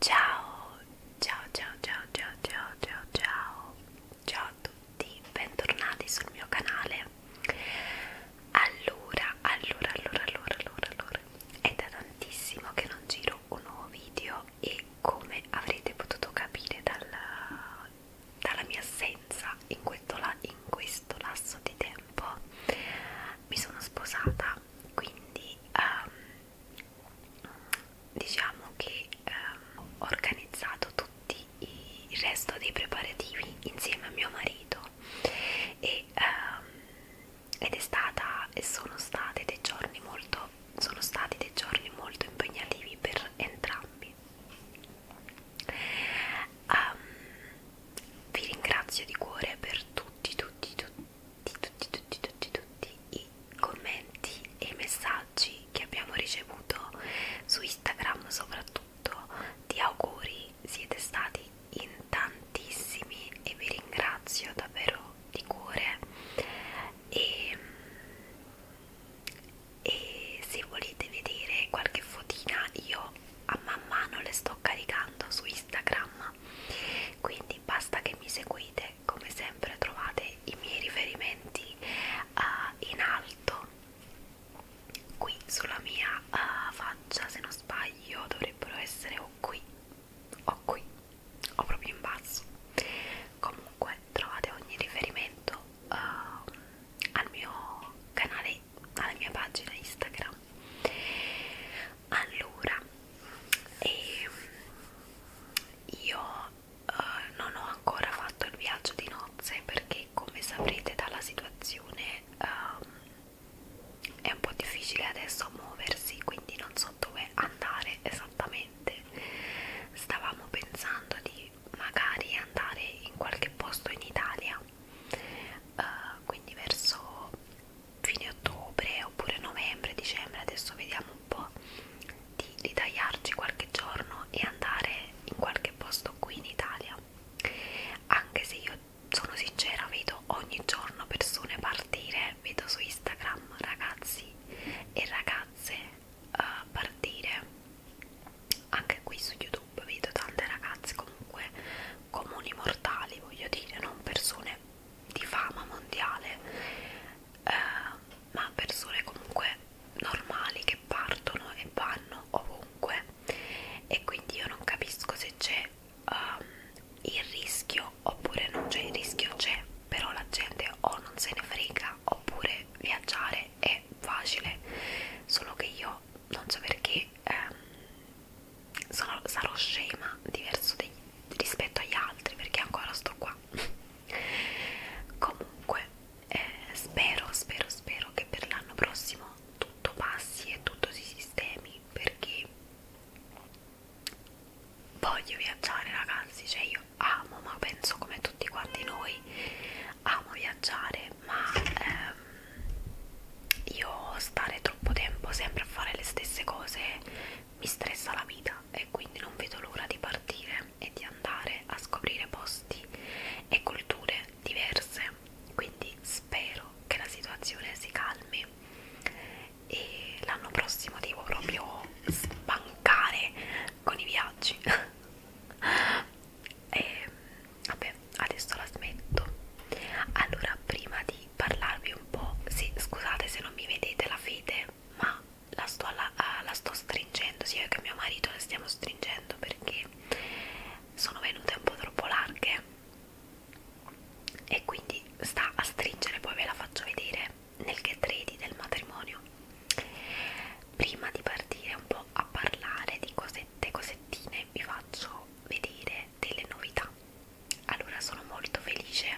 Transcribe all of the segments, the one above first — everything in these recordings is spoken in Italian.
Ciao, ciao, ciao, ciao, ciao, ciao, ciao, ciao, ciao a tutti, bentornati sul mio canale. Allora, allora, allora, allora, allora, allora, è da tantissimo che non giro un nuovo video e come avrete potuto capire dalla, dalla mia assenza in questo, in questo lasso di tempo, mi sono sposata, quindi um, diciamo che ehm, ho organizzato tutti i, il resto dei preparativi insieme a mio marito e, ehm, ed è stata e sono state dei giorni molto sono stati dei giorni molto impegnativi per entrambi um, vi ringrazio di cuore per tutti tutti tutti di tutti, tutti, tutti, tutti i commenti e i messaggi che abbiamo ricevuto su Instagram soprattutto di auguri, siete stati in tantissimi e vi ringrazio davvero di cuore e, e se volete vedere qualche fotina io a man mano le sto caricando su Instagram prima quindi basta che mi seguite come sempre trovate i miei riferimenti uh, in alto qui sulla mia uh, faccia se non sbaglio dovrebbero essere o qui o qui o proprio in basso comunque trovate ogni riferimento uh, al mio canale alla mia pagina Instagram allora e io uh, non ho ancora fatto il viaggio di nozze perché come saprete dalla situazione um, è un po' difficile adesso muoversi quindi non so dove andare esattamente stavamo pensando di magari andare in qualche posto in Italia uh, quindi verso fine ottobre oppure novembre, dicembre, adesso vediamo un po' di, di tagliarci qualche giorno e andare in qualche posto qui in Italia anche se io sono sincera vedo ogni giorno persone partire vedo su Instagram ragazzi e ragazze uh, partire anche qui su YouTube vedo tante ragazze comunque comuni mortali voglio dire non persone di fama mondiale eh, ma persone comunque normali che partono e vanno ovunque e quindi io non capisco se c'è um, il rischio oppure non c'è il rischio c'è però la gente o non se ne frega oppure viaggiare è facile solo che io non so perché ehm, sono, sarò scema diverso degli, rispetto agli altri perché ancora sto qua comunque eh, spero spero spero che per l'anno prossimo tutto passi e tutto si sistemi perché voglio viaggiare ragazzi cioè io amo ma penso come tutti quanti noi amo viaggiare ma ehm, io stare troppo tempo sempre a fare le stesse cose mi stressa la vita e quindi non vedo l'ora di partire e di andare a scoprire posti e culture diverse quindi spero che la situazione si calmi e l'anno prossimo devo proprio spancare con i viaggi e vabbè adesso la smetto allora prima di di parlarvi un po'. Sì, scusate se non mi vedete la fede, ma la sto, la, la sto stringendo, sia io che mio marito la stiamo stringendo perché sono venute un po' troppo larghe e quindi sta a stringere, poi ve la faccio vedere nel get ready del matrimonio. Prima di partire un po' a parlare di cosette, cosettine, vi faccio vedere delle novità allora sono molto felice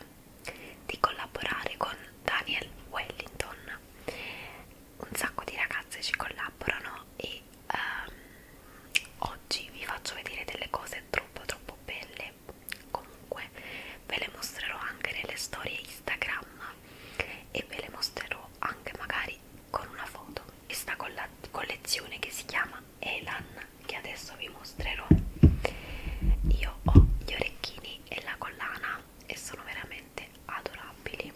di collaborare con Daniel Wellington. Un sacco di ragazze ci collaborano e um, oggi vi faccio vedere delle cose troppo troppo belle. Comunque ve le mostrerò anche nelle storie Instagram e ve le mostrerò anche magari con una foto. Questa colla collezione che si chiama Elan che adesso vi mostrerò io ho gli orecchini e la collana e sono veramente adorabili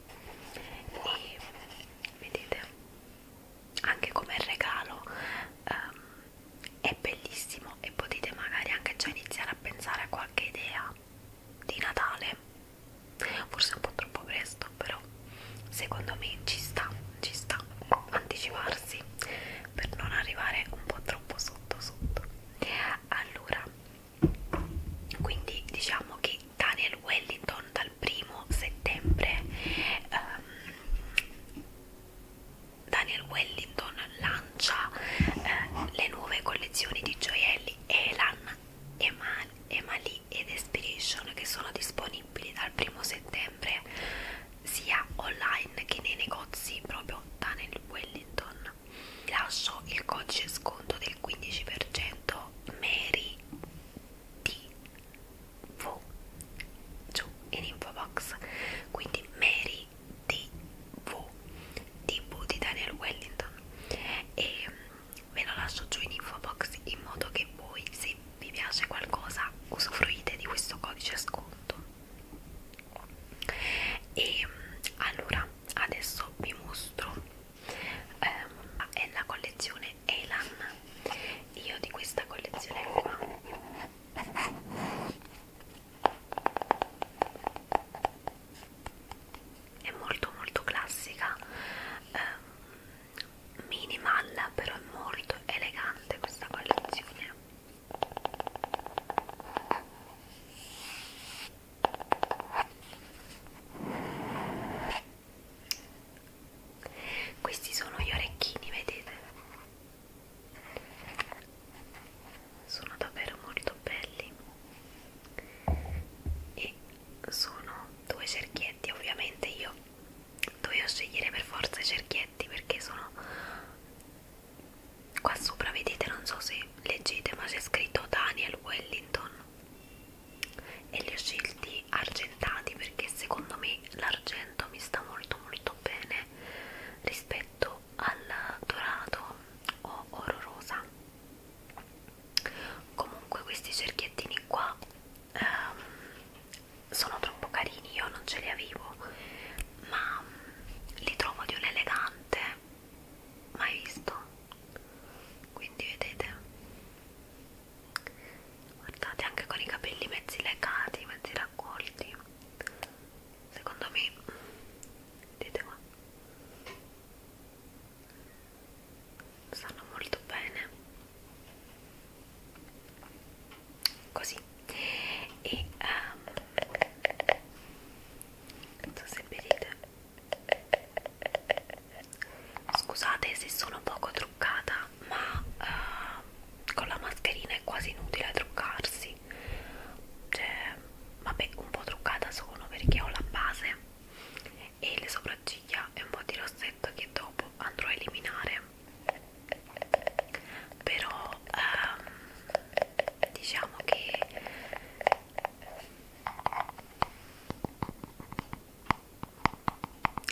e vedete anche come regalo um, è bellissimo e potete magari anche già iniziare a pensare a qualche idea di Natale forse un po' troppo presto però secondo me ci sta ci sta anticiparsi per non arrivare un po' troppo troppo sotto sotto allora quindi diciamo che Daniel Wellington dal primo settembre um, Daniel Wellington lancia eh, le nuove collezioni di gioielli Elan, Eman, Emali ed Inspiration che sono disponibili dal primo settembre settembre sia online che nei negozi proprio da nel Wellington vi lascio il codice sconto del 15% Mary TV giù in info box quindi Mary TV TV di Daniel Wellington e ve lo lascio giù in info box in modo che voi se vi piace qualcosa usufruite di questo codice sconto e mm, allora adesso vi mostro ehm, è la collezione Elan io di questa collezione qua è molto molto classica ehm, minimal però è molto elegante questa collezione questi sono gli orecchini, vedete? Sono davvero molto belli e sono due cerchietti, ovviamente io dovevo scegliere per forza i cerchietti perché sono qua sopra vedete non so se leggete ma c'è scritto Daniel Wellington e li ho scelti argentati perché secondo me l'argento mi sta molto molto bene rispetto al dorato o oro rosa comunque questi cerchiettini qua ehm, sono troppo carini io non ce li avevo ma li trovo di un elegante mai visto quindi vedete guardate anche con i capelli mezzi legati mezzi raccolti secondo me vedete qua stanno molto bene così e um, non so se vedete scusate se sono poco truccata ma uh, con la mascherina è quasi inutile truccarsi cioè vabbè un po' truccata sono perché ho la base e le sopracciglia e un po' di rossetto che dopo andrò a eliminare però um, diciamo che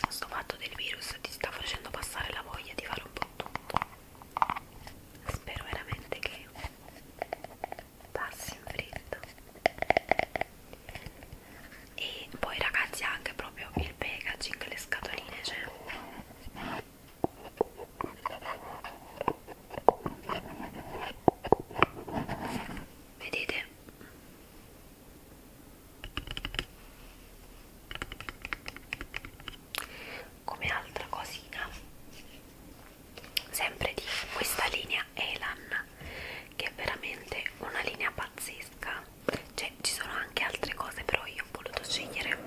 questo fatto del virus ti sta facendo passare la voglia di fare un po' tutto spero veramente che passi in fretta e poi ragazzi anche proprio il packaging le scatoline cioè vedete come altra cosina sempre di questa linea Elan che è veramente una linea pazzesca cioè ci sono anche altre cose però io ho voluto scegliere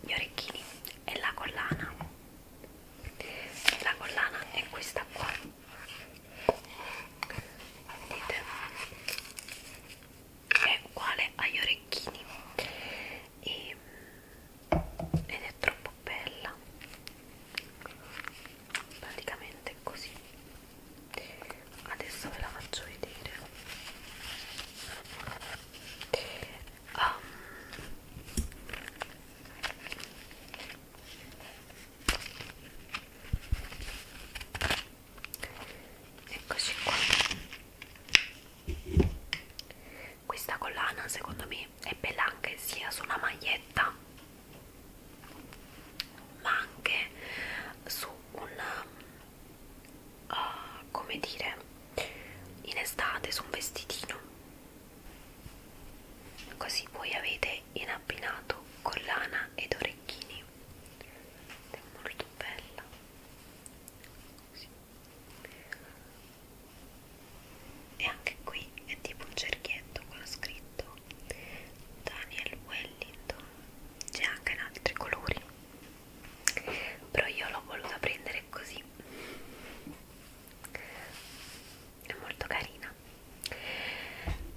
gli orecchini e la collana la collana è questa qua vedete è uguale agli orecchini e, ed è troppo bella praticamente così adesso ve la faccio vedere um, eccoci qua questa collana secondo me è bella anche sia su una maglietta ma anche su un uh, come dire in estate su un vestitino così voi avete in abbinato collana ed orecchini è molto bella così. e anche qui è tipo un cerchietto con scritto Daniel Wellington c'è anche in altri colori però io l'ho voluta prendere così è molto carina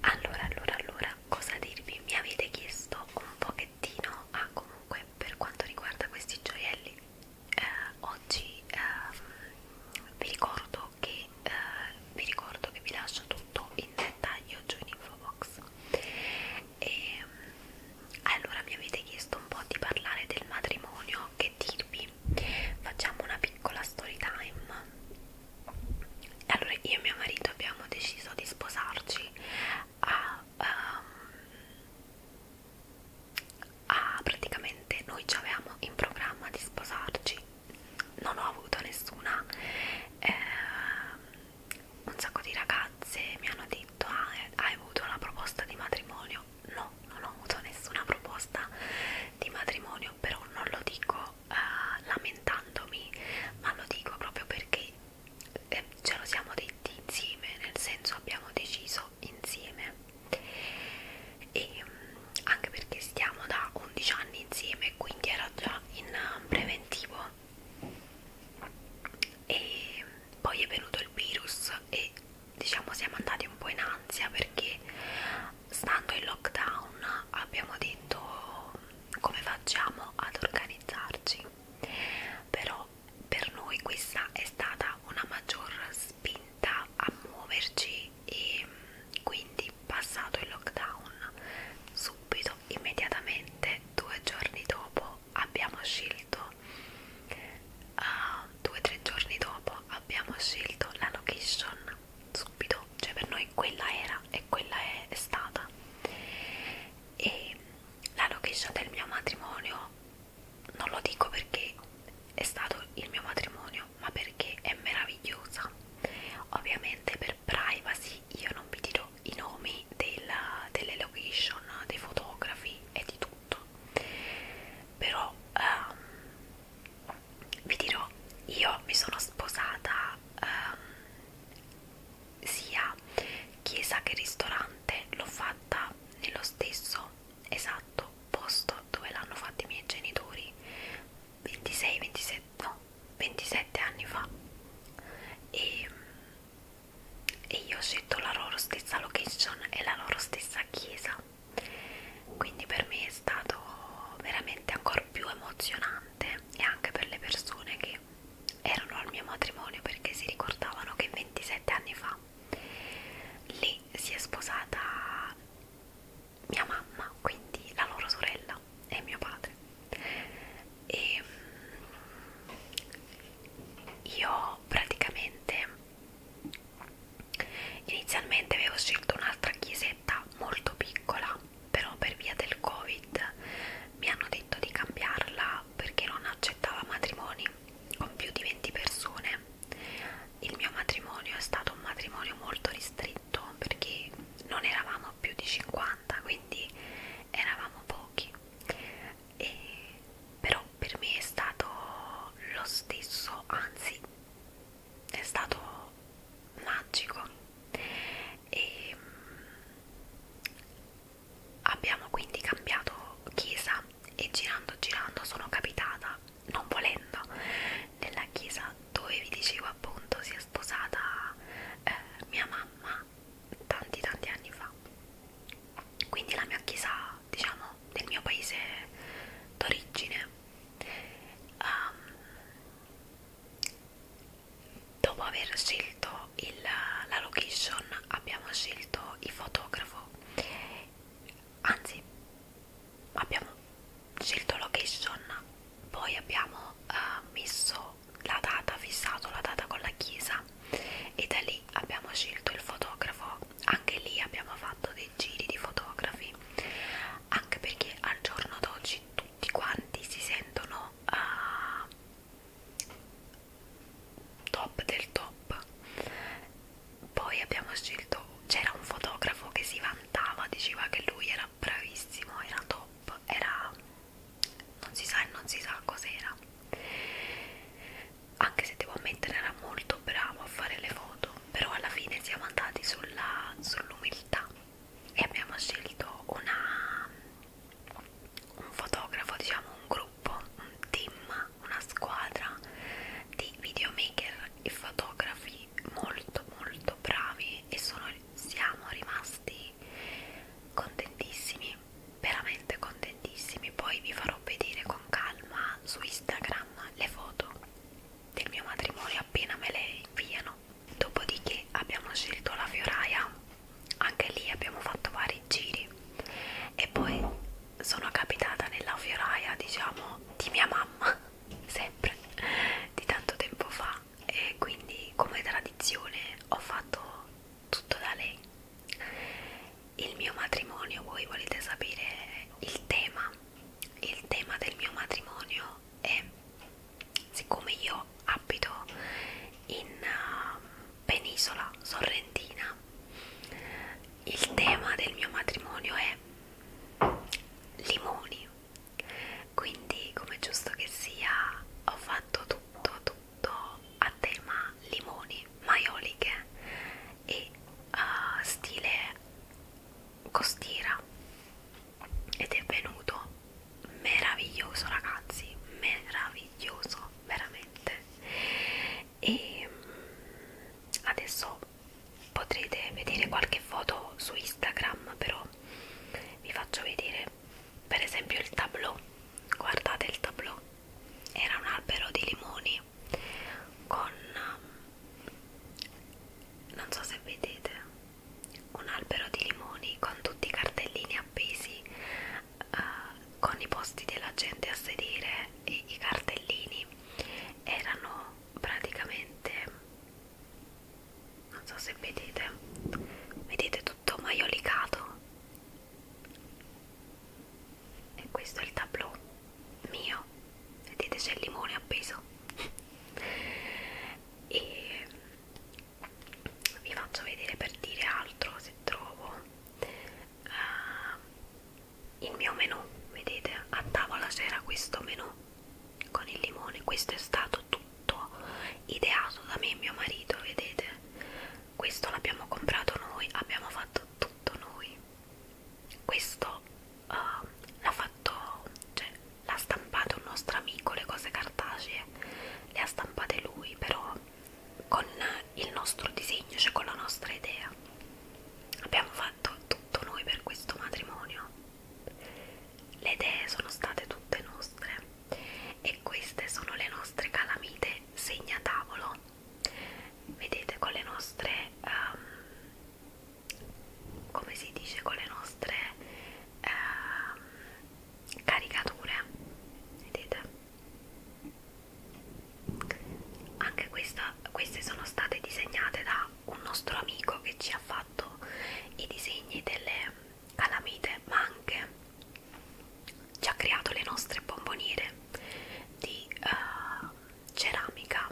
allora allora allora cosa dirvi mi avete chiesto un pochettino ah comunque per quanto riguarda questi gioielli eh, oggi eh, vi ricordo che eh, vi ricordo che vi lascio tutto in dettaglio giù in info box e ehm, allora mi avete chiesto un po' di parlare del matrimonio, che dirvi? Facciamo una piccola story time. Allora, io e mio marito abbiamo deciso di sposarci a, um, a praticamente noi ci avevamo in programma di sposarci. Non ho avuto nessuna eh, un sacco di ragazze mi hanno detto ah, hai avuto una proposta di matrimonio no non ho avuto nessuna proposta di matrimonio però non lo dico eh, lamentandomi ma lo dico proprio perché eh, ce lo siamo detti insieme nel senso abbiamo deciso insieme e mm, anche perché stiamo da 11 anni insieme quindi era già in eh, preventivo e poi è venuto il virus e diciamo siamo andati un po' in ansia perché stando in lockdown abbiamo detto come facciamo ad organizzarci però per noi questa è stata una maggior spinta a muoverci e quindi passato il lockdown subito immediatamente due giorni dopo abbiamo scelto uh, due o tre giorni dopo abbiamo scelto la location subito cioè per noi quella era e quella è stata e la location del mio matrimonio non lo dico perché è stato il mio matrimonio ma perché è meravigliosa ovviamente per privacy io non vi dirò i nomi della, delle location, dei fotografi e di tutto, però um, vi dirò, io mi sono sposata um, sia chiesa che ristorante, l'ho fatta nello stesso esatto posto dove l'hanno fatta i miei genitori 26 27 no 27 anni fa e e io ho scelto la loro stessa location e la loro stessa chiesa quindi per me è stato veramente ancora più emozionante e anche per le persone che erano al mio matrimonio perché si ricordavano che 27 anni fa lì si è sposata mia mamma quindi la loro sorella e mio padre e mm, io praticamente inizialmente avevo scelto un'altra chiesetta molto piccola però per via del covid mi hanno detto di cambiarla perché non accettava matrimoni con più di 20 persone il mio matrimonio è stato un matrimonio molto ristretto perché non eravamo più di 50 quindi eravamo pochi e però per me è stato lo stesso anzi è stato magico e mm, abbiamo quindi cambiato chiesa e girando girando sono capitata non volendo nella chiesa dove vi dicevo appunto si è sposata eh, mia mamma tanti tanti anni fa quindi la mia chiesa diciamo del mio paese d'origine um, dopo aver scelto il, la location abbiamo scelto il fotografo anzi abbiamo scelto location poi abbiamo uh, messo la data, fissato la data con la chiesa e da lì abbiamo scelto il fotografo, anche lì abbiamo fatto dei giri di fotografi, anche perché al giorno d'oggi tutti quanti si sentono uh, top del top. Poi abbiamo scelto, c'era un fotografo che si vantava, diceva che lui era bravissimo, era top, era non si sa e non si sa cos'era anche se devo ammettere era molto bravo a fare le foto però alla fine siamo andati sull'umiltà sull e abbiamo scelto una, un fotografo diciamo un gruppo un team una squadra di videomaker e fotografi molto molto bravi e sono, siamo rimasti contentissimi veramente contentissimi poi vi farò vedere con calma su Instagram le foto del mio matrimonio appena me le inviano dopodiché abbiamo scelto la fioraia anche lì abbiamo fatto vari giri e poi sono capitata nella fioraia diciamo di mia mamma sempre di tanto tempo fa e quindi come tradizione ho fatto tutto da lei. Il mio matrimonio, voi volete sapere il tema? Il tema del mio matrimonio è, siccome io abito in uh, penisola sorrentina, il tema del mio matrimonio è limoni. Quindi, come giusto che sia, ho fatto tutto, tutto prodotto a tema limoni, maioliche e uh, stile costiera ed è venuto meraviglioso ragazzi, meraviglioso veramente e mm, adesso potrete vedere qualche foto su Instagram però vi faccio vedere piacere per esempio il tableau guardate il tableau era un albero di limoni con um, non so se vedete un albero di limoni con tutti i cartellini appesi uh, con i posti della gente a sedere e i cartellini erano praticamente non so se vedete vedete tutto maiolicato e questo è il tableau mio vedete c'è il limone appeso e vi faccio vedere per dire altro se trovo uh, il mio menù vedete a tavola c'era questo menù con il limone questo è stato tutto ideato da me e mio marito vedete questo l'abbiamo comprato noi abbiamo fatto tutto noi questo uh, l'ha fatto cioè l'ha stampato un nostro amico le cose cartacee le ha stampate lui però con il nostro disegno cioè con la nostra idea abbiamo fatto tutto noi per questo matrimonio le idee sono state tutte nostre e queste sono le nostre calamite segnatavolo vedete con le nostre um, come si dice con le nostre um, caricature vedete anche questa, queste sono state disegnate da un nostro amico che ci ha fatto i disegni delle calamite ma anche ci ha creato le nostre bomboniere di uh, ceramica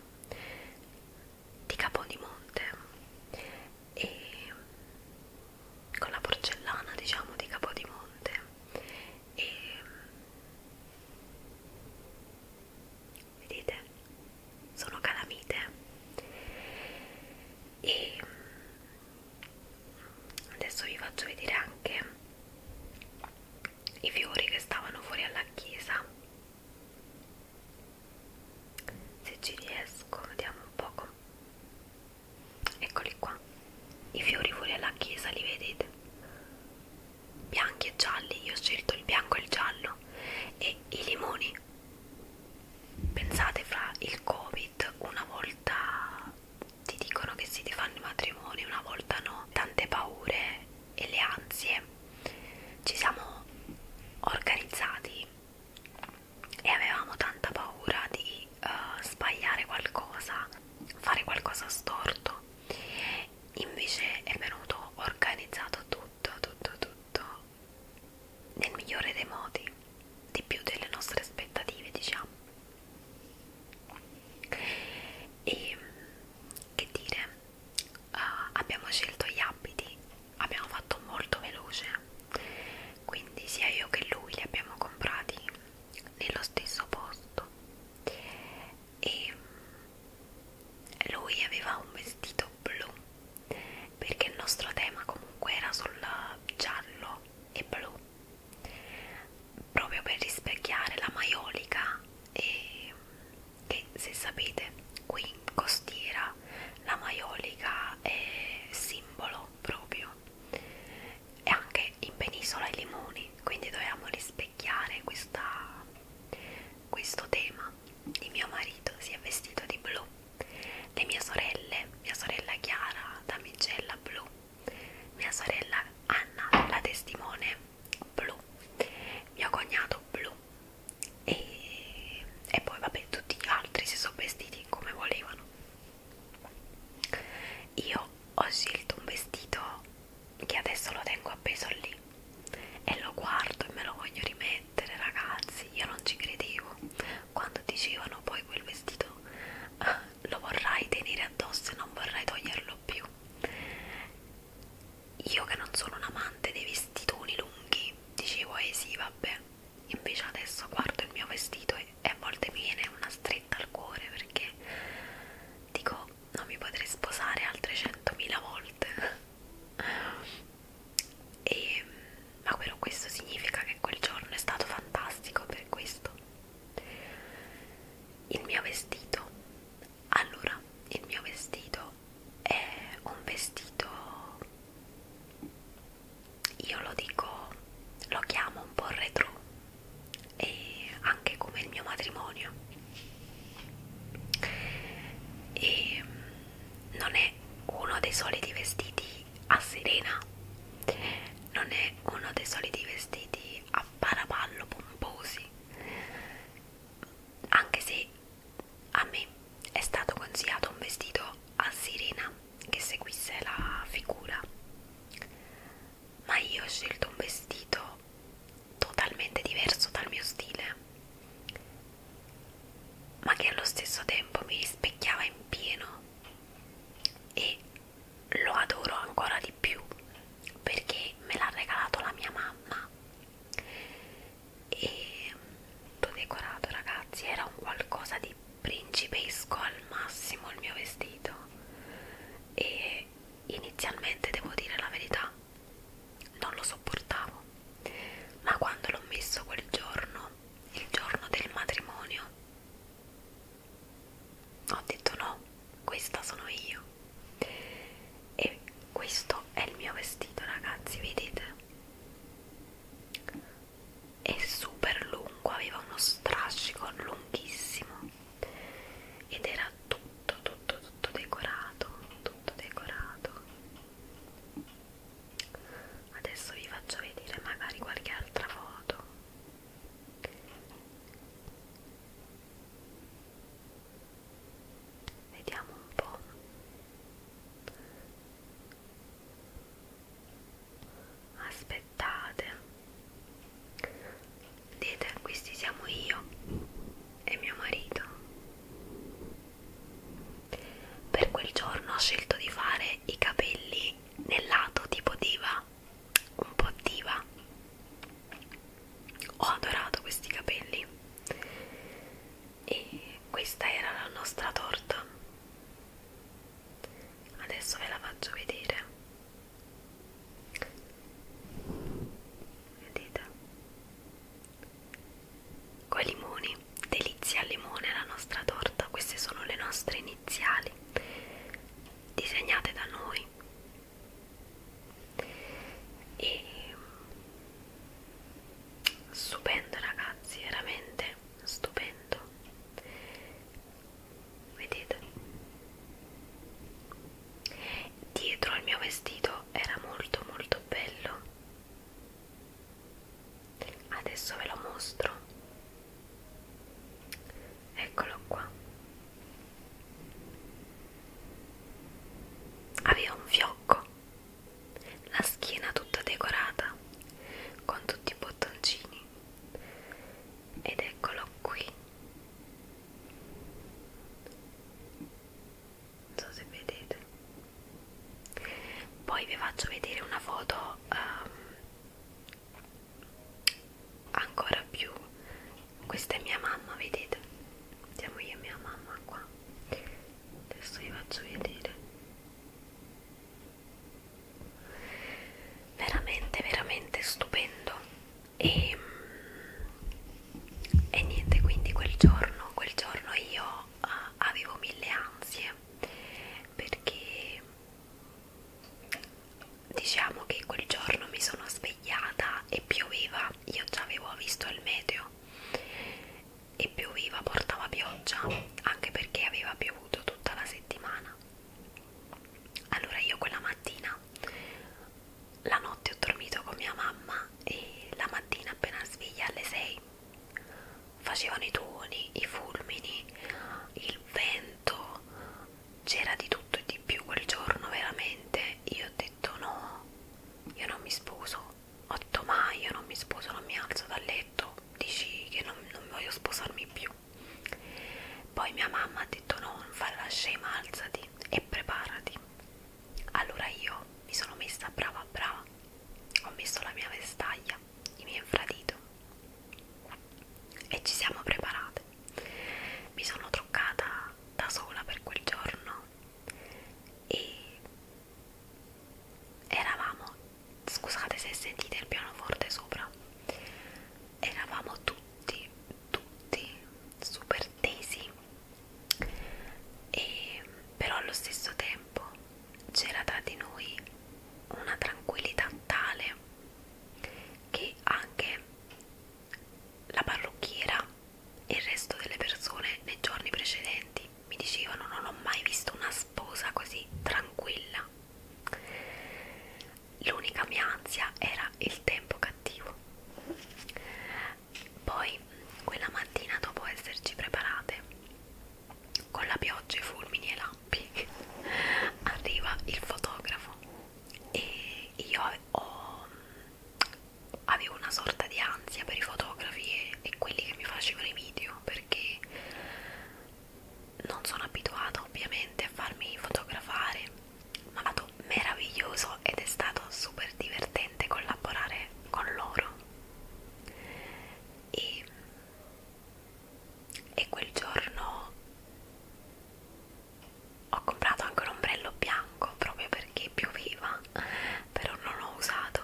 di Capodimonte e con la porcellana diciamo di Capodimonte e vedete sono calamite e adesso vi faccio vedere anche i fiori che stavano fuori alla chiesa se ci riesco vediamo un poco eccoli qua i fiori fuori alla chiesa li vedete bianchi e gialli io ho scelto il bianco e il giallo e i limoni pensate fra il covid Covid una volta ti dicono che si ti fanno i matrimoni, una volta no, tante paure e le ansie. Ci siamo organizzati e avevamo tanta paura di uh, sbagliare qualcosa, fare qualcosa storto. Invece è venuto organizzato tutto, tutto, tutto nel migliore dei modi, di più delle nostre aspettative, diciamo e che dire uh, abbiamo scelto gli abiti abbiamo fatto molto veloce quindi sia io che lui li abbiamo comprati nello stesso posto e lui aveva un vestito blu perché il nostro tema comunque era sul giallo e blu proprio per rispecchiare la maiolica e, che se sapete qui in costiera la maiolica è simbolo proprio e anche in penisola i limoni quindi dovevamo rispecchiare questa, questo tema il mio marito si è vestito di blu le mie sorelle mia sorella Chiara damigella blu mia sorella Anna, la testimone blu, mio cognato blu e, e poi vabbè tutti gli altri si sono vestiti come volevano. Io ho scelto un vestito che adesso lo tengo appeso lì e lo guardo e me lo voglio rimettere ragazzi, io non ci credevo quando dicevano poi quel vestito ah, lo vorrai tenere addosso e non vorrai toglierlo più. Io che non sono un amante dei vestitoni lunghi, dicevo eh sì vabbè, invece adesso guardo il mio vestito e, e a volte mi viene una stretta al cuore perché dico non mi potrei sposare altre 100.000 volte. e, ma però questo significa che quel giorno è stato fantastico per questo il mio vestito, allora, il mio vestito è un vestito, io lo dico, lo chiamo un po' retro e anche come il mio matrimonio e mm, non è uno dei soliti vestiti a sirena non è uno dei soliti vestiti a paraballo pomposi anche se a me è stato consigliato un vestito a sirena che seguisse la figura ma io ho scelto un vestito totalmente diverso dal mio stile ma che allo stesso tempo mi rispecchiava in pieno e lo adoro ancora di più perché me l'ha regalato la mia mamma e tutto decorato ragazzi era un qualcosa di principesco al massimo il mio vestito e inizialmente devo dire la verità non lo sopportavo ma quando l'ho messo quel giorno il giorno del matrimonio ho detto no, questa sono io e questo è il mio vestito ragazzi, vedete? È super lungo, aveva uno strascico lunghissimo ed era tutto, tutto, tutto decorato, tutto decorato. Adesso vi faccio vedere magari qualche altra foto Vediamo un po'. Aspettate. Vedete, questi siamo io e mio marito. Per quel giorno ho scelto di fare i capelli nel lato tipo diva un po' diva ho adorato questi capelli e questa era la nostra torta adesso ve la faccio vedere vedete coi limoni delizia al limone la nostra torta queste sono le nostre iniziali disegnate da noi e stupendo ragazzi veramente stupendo vedete dietro al mio vestito era molto molto bello adesso ve lo mostro eccolo qua aveva un fiocco la schiena tutta decorata con tutti i bottoncini ed eccolo qui non so se vedete poi vi faccio vedere una foto um, ancora più questa è mia mamma vedete siamo io e mia mamma qua adesso vi faccio vedere veramente veramente stupendo e, mm, e niente quindi quel giorno quel giorno io ah, avevo mille ansie perché diciamo che quel giorno mi sono svegliata e pioveva, io già avevo visto il meteo e pioveva, portava pioggia anche perché aveva piovuto tutta la settimana. Allora io quella mattina, la notte ho dormito con mia mamma e la mattina appena sveglia alle 6 facevano i tuoni, i fulmini, il vento tanto c'era di tutto e di più quel giorno veramente io ho detto no io non mi sposo ho detto mai io non mi sposo non mi alzo dal letto dici che non, non voglio sposarmi più poi mia mamma ha detto no non fare la scema alzati e preparati allora io mi sono messa brava brava ho messo la mia vestaglia i miei infradito e ci siamo preparate mi sono truccata da sola per quel giorno e eravamo scusate se sentite il pianoforte sopra eravamo tutti tutti super tesi e però allo stesso tempo c'era tra di noi una tranquillità tale che anche la parrucchiera e il resto delle persone nei giorni precedenti mi dicevano non ho mai visto una sposa così tranquilla l'unica mia ansia era il tempo cattivo poi quella mattina dopo esserci preparate con la pioggia i fulmini e i lampi arriva il fotografo e io ho, avevo una sorta di ansia per i fotografi e, e quelli che mi facevano i video perché non sono abituata ovviamente a farmi fotografare ma è stato meraviglioso ed è stato super divertente collaborare con loro e, e quel giorno ho comprato anche un ombrello bianco proprio perché pioveva però non l'ho usato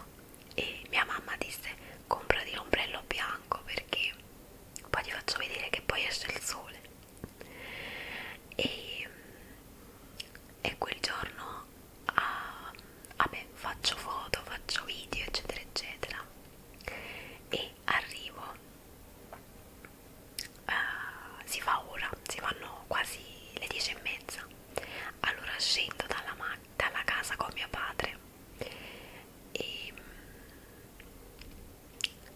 e mia mamma disse comprati l'ombrello bianco perché poi ti faccio vedere che poi esce il sole e, e quel giorno ah, vabbè, faccio foto faccio video eccetera eccetera e arrivo uh, si fa ora, si fanno quasi le 10 e mezza. Allora scendo dalla, dalla casa con mio padre e,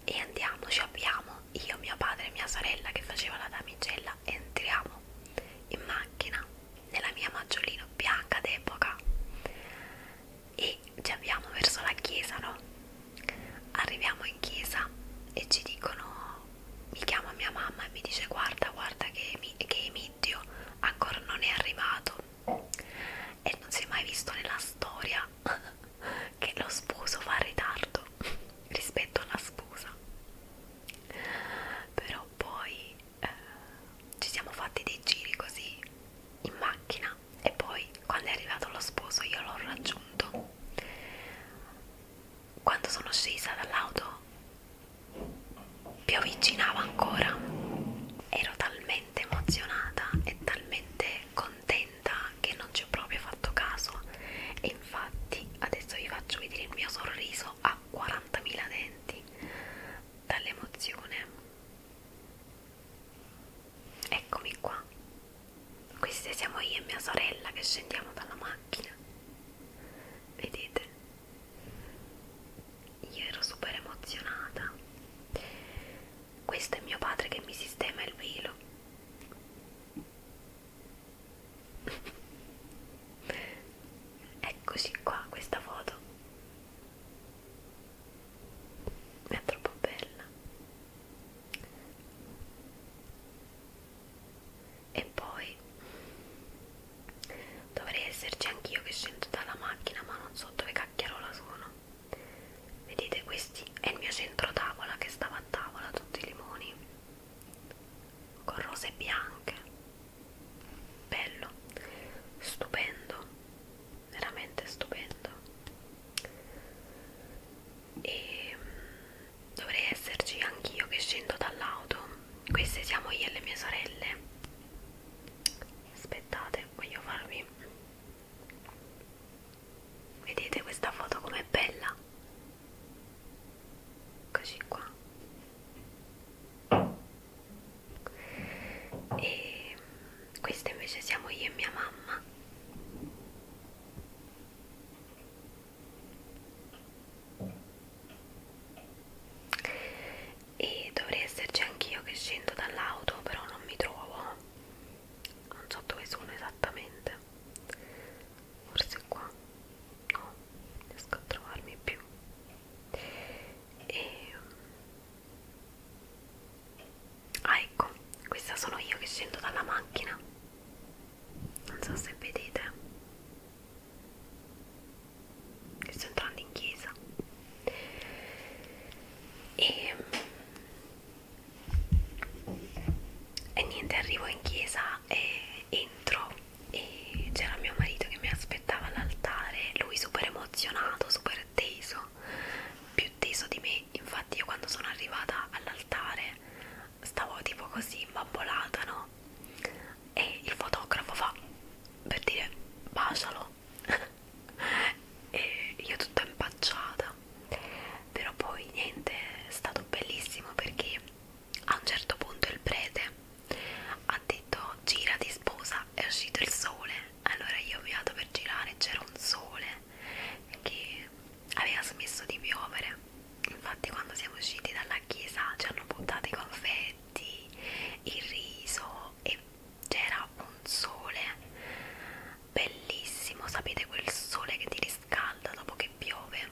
e andiamo, ci abbiamo io, mio padre e mia sorella che faceva la damigella. Entriamo in macchina nella mia maggiolina bianca d'epoca e ci abbiamo verso la chiesa, no? Arriviamo in chiesa e ci dicono, mi chiama mia mamma e mi dice guarda, guarda che, che Emitio ancora non è arrivato e non si è mai visto nella storia che lo sposo fa ritardo rispetto alla sposa però poi eh, ci siamo fatti dei giri così in macchina e poi quando è arrivato lo sposo io l'ho raggiunto quando sono scesa dall'auto più avvicinava ancora ero talmente emozionata e talmente contenta che non ci ho proprio fatto caso e infatti adesso vi faccio vedere il mio sorriso a 40.000 denti dall'emozione eccomi qua queste siamo io e mia sorella che scendiamo dalla macchina. Vedete? Io ero super emozionata. Questo è mio padre che mi sistema il velo. Eccoci qua questa foto. È troppo bella e poi dovrei esserci anch'io che scendo dalla macchina ma non so dove cacchiarola sono vedete questi è il mio centro tavola che stava a tavola tutti i limoni con rose bianche bello stupendo veramente stupendo e mm, dovrei esserci anch'io che scendo dall'auto queste siamo io e le mie sorelle aspettate voglio farvi vedete questa foto com'è bella così qua e mm, questa invece siamo io e mia mamma e dovrei esserci anch'io che scendo dall'auto però non mi trovo non so dove sono esattamente forse qua no riesco a trovarmi più e ehm, Ah ecco, questa sono io che scendo dalla macchina. Non so se vedete. Che sto entrando in chiesa. E, ehm, e niente, arrivo in chiesa e entro e c'era mio marito che mi aspettava all'altare, lui super emozionato, super teso, più teso di me infatti io quando sono arrivata all'altare stavo tipo così imbambolata, no? E il fotografo fa per dire bacialo e io tutta impacciata però poi niente è stato bellissimo perché a un certo punto il prete ha detto girati sposa è uscito il sole allora io ho avviato per girare c'era un sole che aveva smesso di piovere infatti quando siamo usciti dalla chiesa ci hanno buttato i confetti il riso e c'era un sole bellissimo sapete quel sole che ti riscalda dopo che piove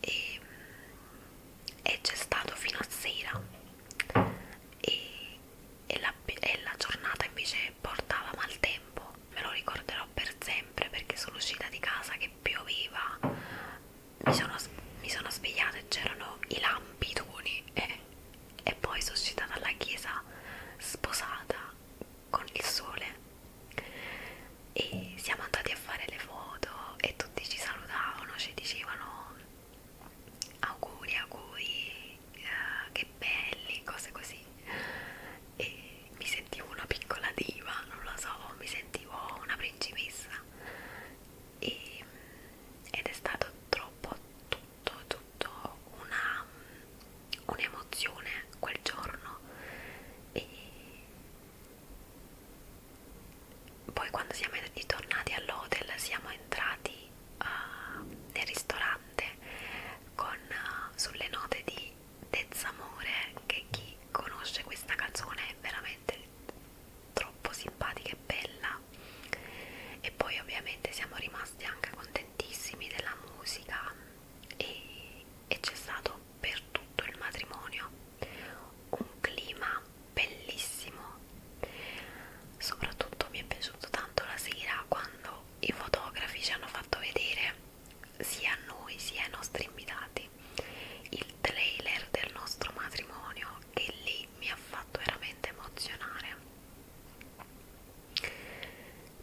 e, e c'è stato fino a sera e, e, la, e la giornata invece che portava maltempo, me lo ricorderò per sempre perché sono uscita di casa che pioveva, mi sono, mi sono svegliata e c'erano i lampidoni e, e poi sono uscita dalla chiesa sposata con il sole e siamo andati a fare le foto e tutti ci salutavano, ci dicevano auguri auguri uh, che belli, cose così e mi sentivo una piccola diva, non lo so, mi sentivo una principessa e, ed è stato troppo tutto, tutto una un'emozione quel giorno e poi quando siamo ritornati all'hotel siamo entrati uh, nel ristorante con, eh, sulle note di Dezzamore che chi conosce questa canzone è veramente troppo simpatica e bella e poi ovviamente siamo rimasti anche contentissimi della musica e, e c'è stato per tutto il matrimonio un clima bellissimo soprattutto mi è piaciuto tanto la sera quando i fotografi ci hanno fatto vedere sia a noi sia ai nostri invitati il trailer del nostro matrimonio che lì mi ha fatto veramente emozionare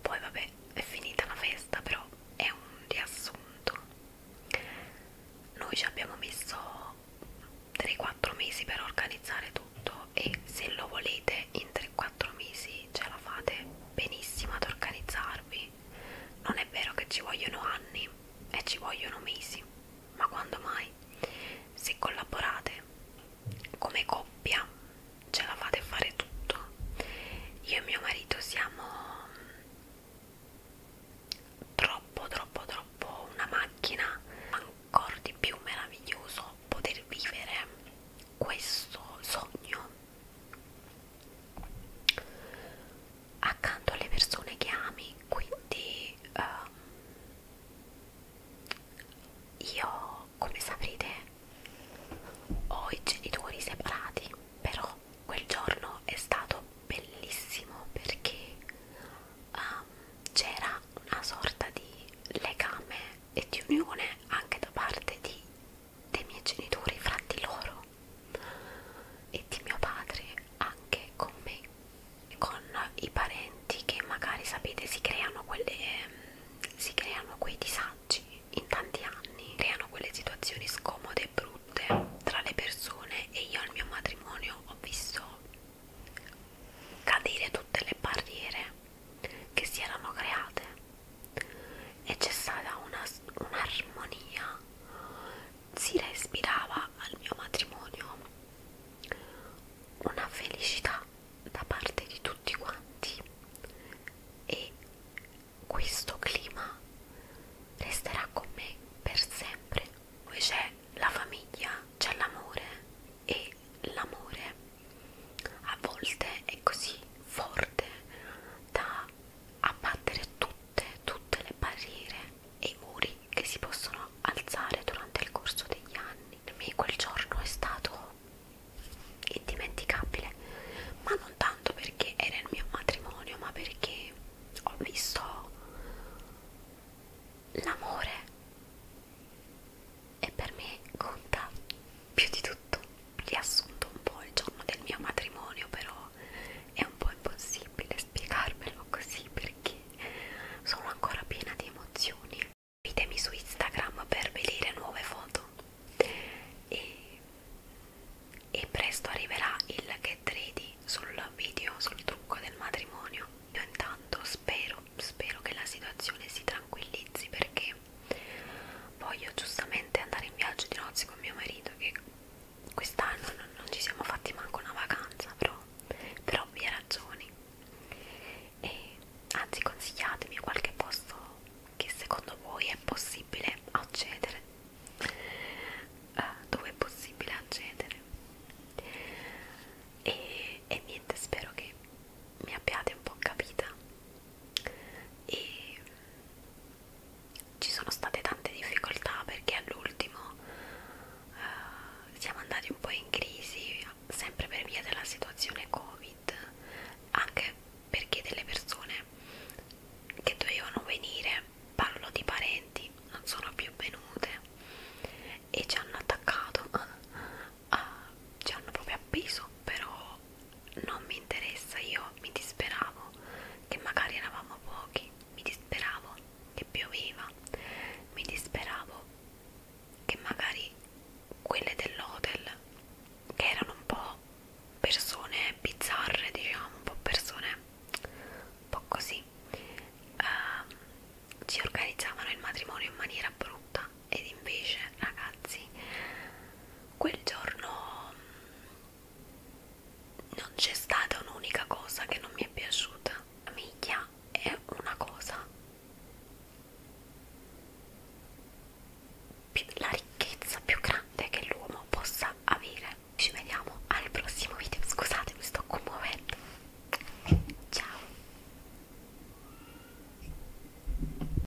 poi vabbè è finita la festa però è un riassunto noi ci abbiamo messo 3-4 mesi per organizzare tutto e se lo volete in 3-4 mesi ce la fate benissimo ad organizzarvi. Non è vero che ci vogliono anni e ci vogliono mesi, ma quando mai? Se collaborate come coppia ce la fate fare tutto. Io e mio marito siamo mm, troppo, troppo, troppo una macchina, ancora di più meraviglioso poter vivere questo sogno accanto alle persone che ami quindi uh, io come saprete ho i genitori separati però quel giorno è stato bellissimo perché um, c'era una sorta di legame e di unione anche da parte di dei miei genitori fra di loro e di mio padre anche con me, con i parenti che magari sapete si creano, quelle, si creano quei disagi in tanti anni, creano quelle situazioni scomode e brutte tra le persone e io al mio matrimonio ho visto cadere tutte le barriere che si erano create e c'è stata un'armonia un si respirava al mio matrimonio una felicità da parte di tutti quanti e questo clima resterà con me per sempre poi c'è la famiglia c'è l'amore e l'amore a volte è così forte da abbattere tutte, tutte le barriere e i muri che si possono alzare durante il corso degli anni. Per me quel giorno è stato indimenticabile, ma non tanto perché era il mio matrimonio, ma perché ho visto l'amore e per me conta più di tutto riassunto un po' il giorno del mio matrimonio però è un po' impossibile spiegarvelo così perché sono ancora piena di emozioni Seguitemi su Instagram per vedere nuove foto e, e presto arriverà il get ready sul video sul trucco del matrimonio io intanto spero spero che la situazione si tranquillizzi perché voglio giustamente andare in viaggio di nozze con mio marito che quest'anno non, non ci siamo fatti manco una vacanza però per ovvie ragioni e anzi consigliatemi qualche posto che secondo voi è possibile accedere uh, dove è possibile accedere e, e niente spero che mi abbiate un po' capita e ci sono state tante difficoltà perché all'ultimo eh, siamo andati un po' in crisi sempre per via della situazione covid anche perché delle persone che dovevano venire parlo di parenti non sono più venute e ci hanno attaccato ah, ci hanno proprio appeso però non mi interessa, io mi disperavo che magari eravamo pochi, mi disperavo che pioveva, mi disperavo che magari quelle dell'hotel che erano un po' persone bizzarre, diciamo, un po' persone un po' così, ehm, ci organizzavano il matrimonio in maniera brutta ed invece ragazzi quel giorno mm, non c'è stata un'unica cosa che non mi è piaciuta miglia è una cosa la ricchezza più grande che l'uomo possa avere ci vediamo al prossimo video scusate mi sto commuovendo ciao